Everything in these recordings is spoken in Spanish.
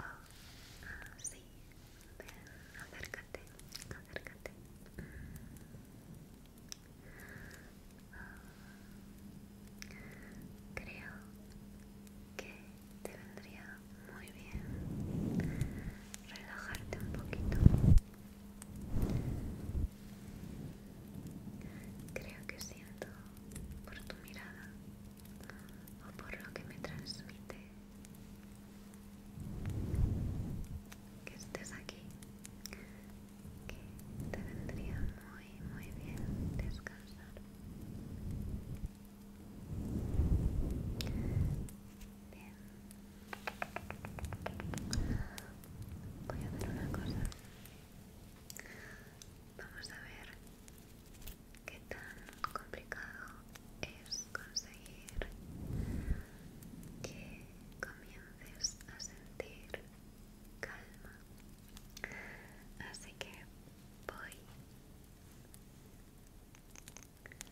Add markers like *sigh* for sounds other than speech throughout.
Oh, sí, acércate, acércate. creo que te vendría muy bien relajarte un poquito. Creo que siento por tu mirada o por lo que me transmite que estés aquí que te vendría muy muy bien descansar bien voy a hacer una cosa vamos a ver qué tan complicado es conseguir que comiences a sentir calma. Así que voy a hacer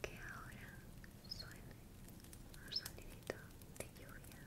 que ahora suene un sonidito de lluvia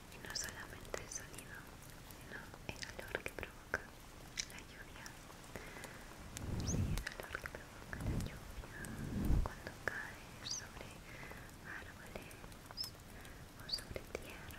y no solamente el sonido, sino el olor que provoca la lluvia. Sí, el olor que provoca la lluvia cuando cae sobre árboles o sobre tierra.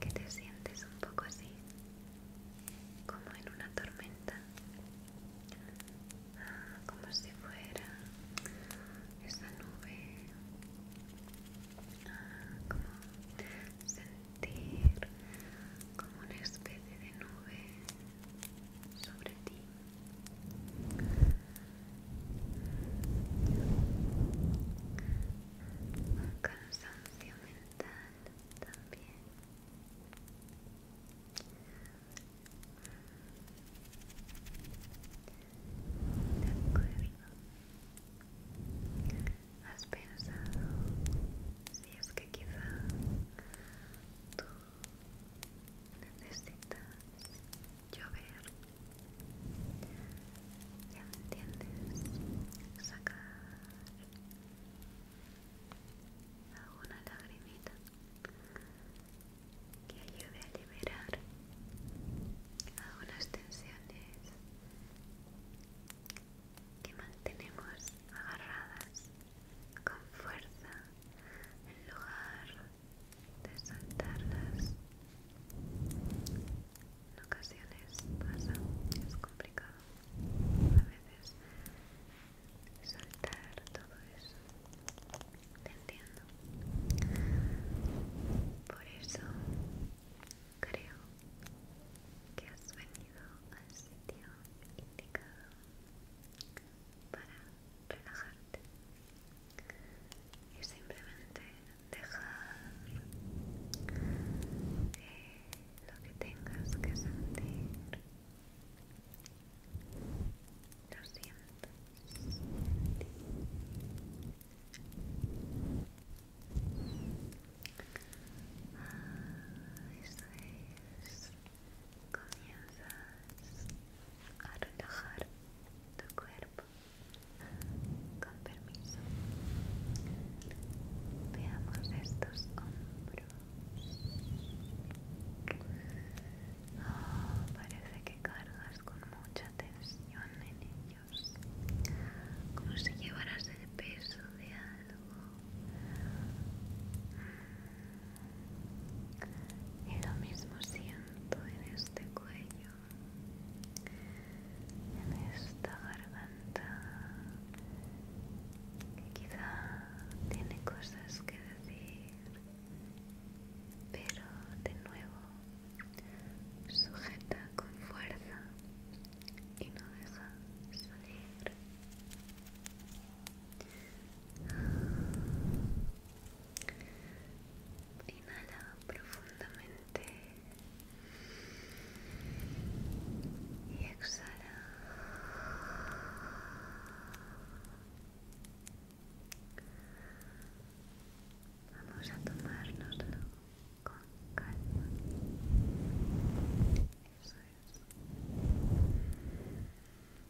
que te sientes un poco así como en una tormenta como si fuera esa nube como sentir como una especie de nube sobre ti un cansancio mental también de acuerdo has pensado si es que quizá tú necesitas llover. Ya entiendes. Sacar alguna lagrimita que ayude a liberar algunas tensiones que mantenemos agarradas con fuerza en lugar de saltarlas. En ocasiones pasa, es complicado a veces saltar todo eso. Te entiendo. Por eso creo que has venido al sitio indicado para relajarte y simplemente dejar eh, lo que tengas que sentir lo sientes ah, comienzas a relajar tu cuerpo con permiso veamos estos hombros oh, parece que cargas con mucha tensión en ellos como si llevaras el peso de algo y lo mismo siento en este cuello en esta garganta que quizá tiene cosas que decir pero de nuevo sujeta con fuerza y no deja salir Inhala profundamente y exhala. Vamos a tomárnoslo con calma.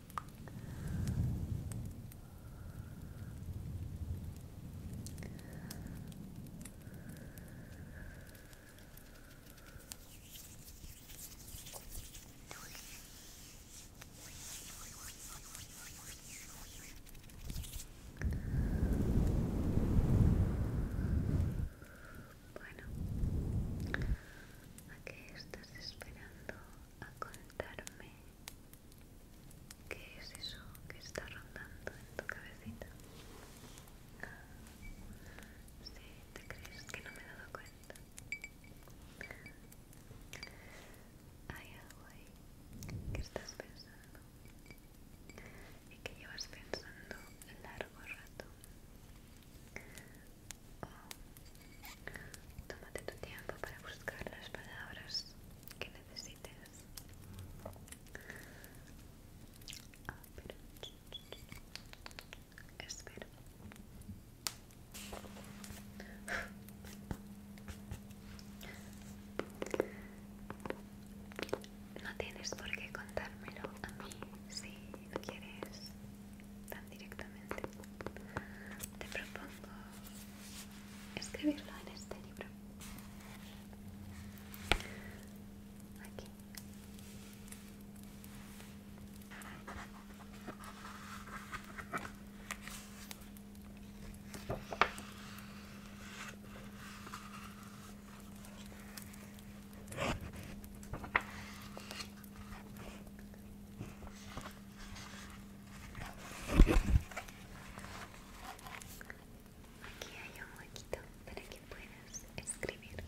Bueno, ¿a qué estás esperando? a contarme qué es eso que está rondando en tu cabecita. Sí, te crees que no me he dado cuenta. Hay algo ahí que estás pensando y que llevas pensando largo rato. Tómate tu tiempo para buscar las palabras que necesites. espero No tienes por qué contármelo a mí si no quieres tan directamente. Te propongo escribirlo en este libro. Aquí. Aquí hay un huequito para que puedas escribir.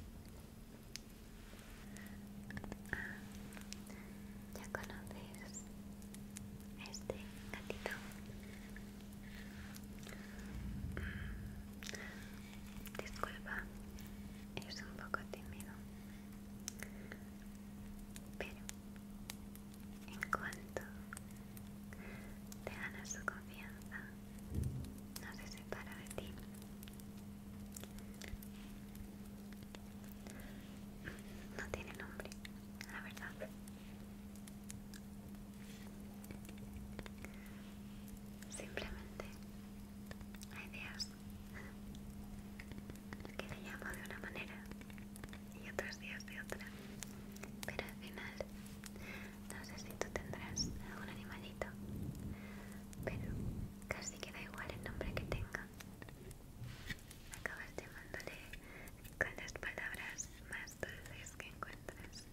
Ah, ya conoces este gatito. Mm, disculpa, es un poco tímido. Pero en cuanto te gana su confianza, no se separa de ti. No tiene nombre, la verdad. Simplemente hay ideas que le llamo de una manera y otros días de otra. Pero al final, no sé si tú tendrás algún animalito, pero casi queda igual el nombre que tenga. Acabas llamándole con las palabras más dulces que encuentras.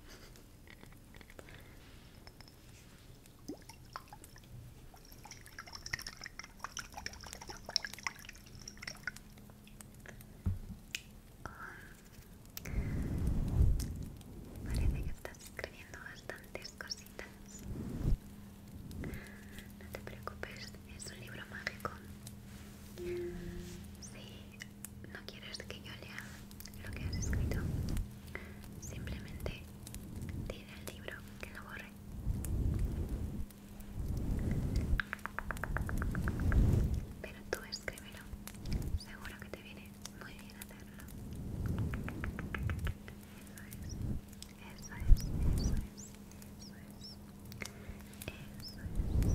Parece que estás escribiendo bastantes cositas. No te preocupes, es un libro mágico. Si no quieres que yo lea lo que has escrito, simplemente tira el libro que lo borre. Pero tú escríbelo, seguro que te viene muy bien hacerlo. Eso es, eso es, eso es, eso es, eso es.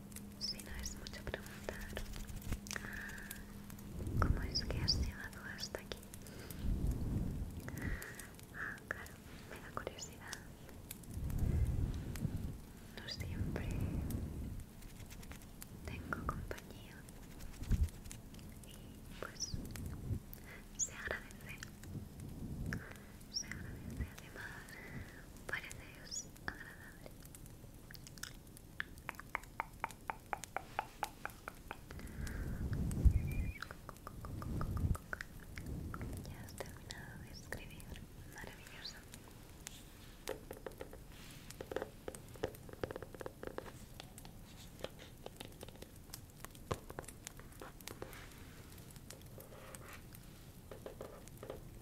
Si no es mucho preguntar, ¿cómo es que has llegado hasta aquí? Ah, claro, me da curiosidad. No siempre tengo compañía y pues se agradece. Se agradece además, parece agradable. Ya has terminado de escribir, maravilloso.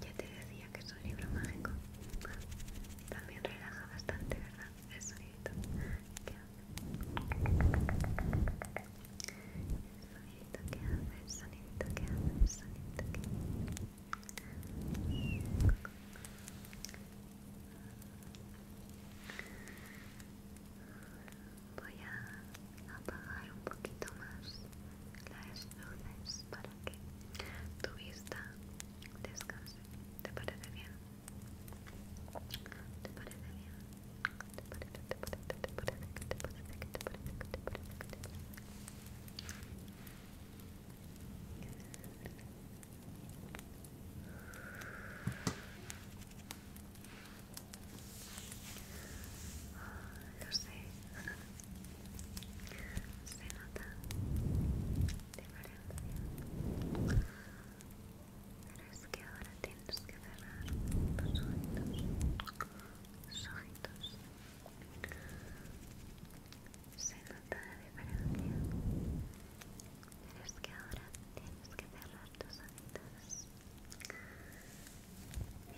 Ya te decía que es un libro mágico. También relaja bastante, ¿verdad? El sonidito que hace. El sonidito que hace, el sonidito que hace, el que hace. Voy a apagar un poquito más las luces para que tu vista descanse. ¿Te parece bien? ¿Te parece bien? ¿Te parece, te lo sé, *laughs* se nota diferencia, pero es que ahora tienes que cerrar los ojitos, los ojitos toda es que ahora tienes que cerrar tus ojitos y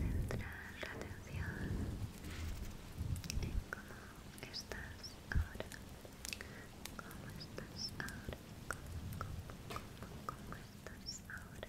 centrar la atención en cómo estás ahora, cómo estás ahora, cómo, cómo, cómo, estás Ahora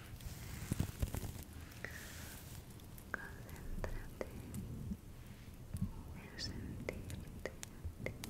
Concéntrate en sentirte a ti,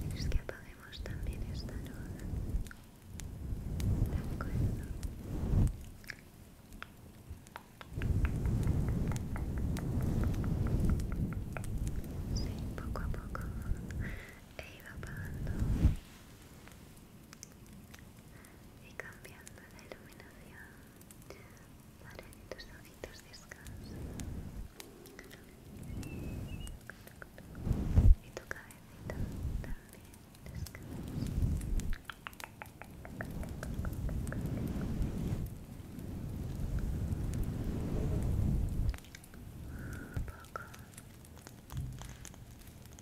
¿Quieres que apaguemos también esta luz? De acuerdo. Sí, poco a poco he iba apagando y cambiando la iluminación para que tus ojitos descansen y tu cabecita también descanse poco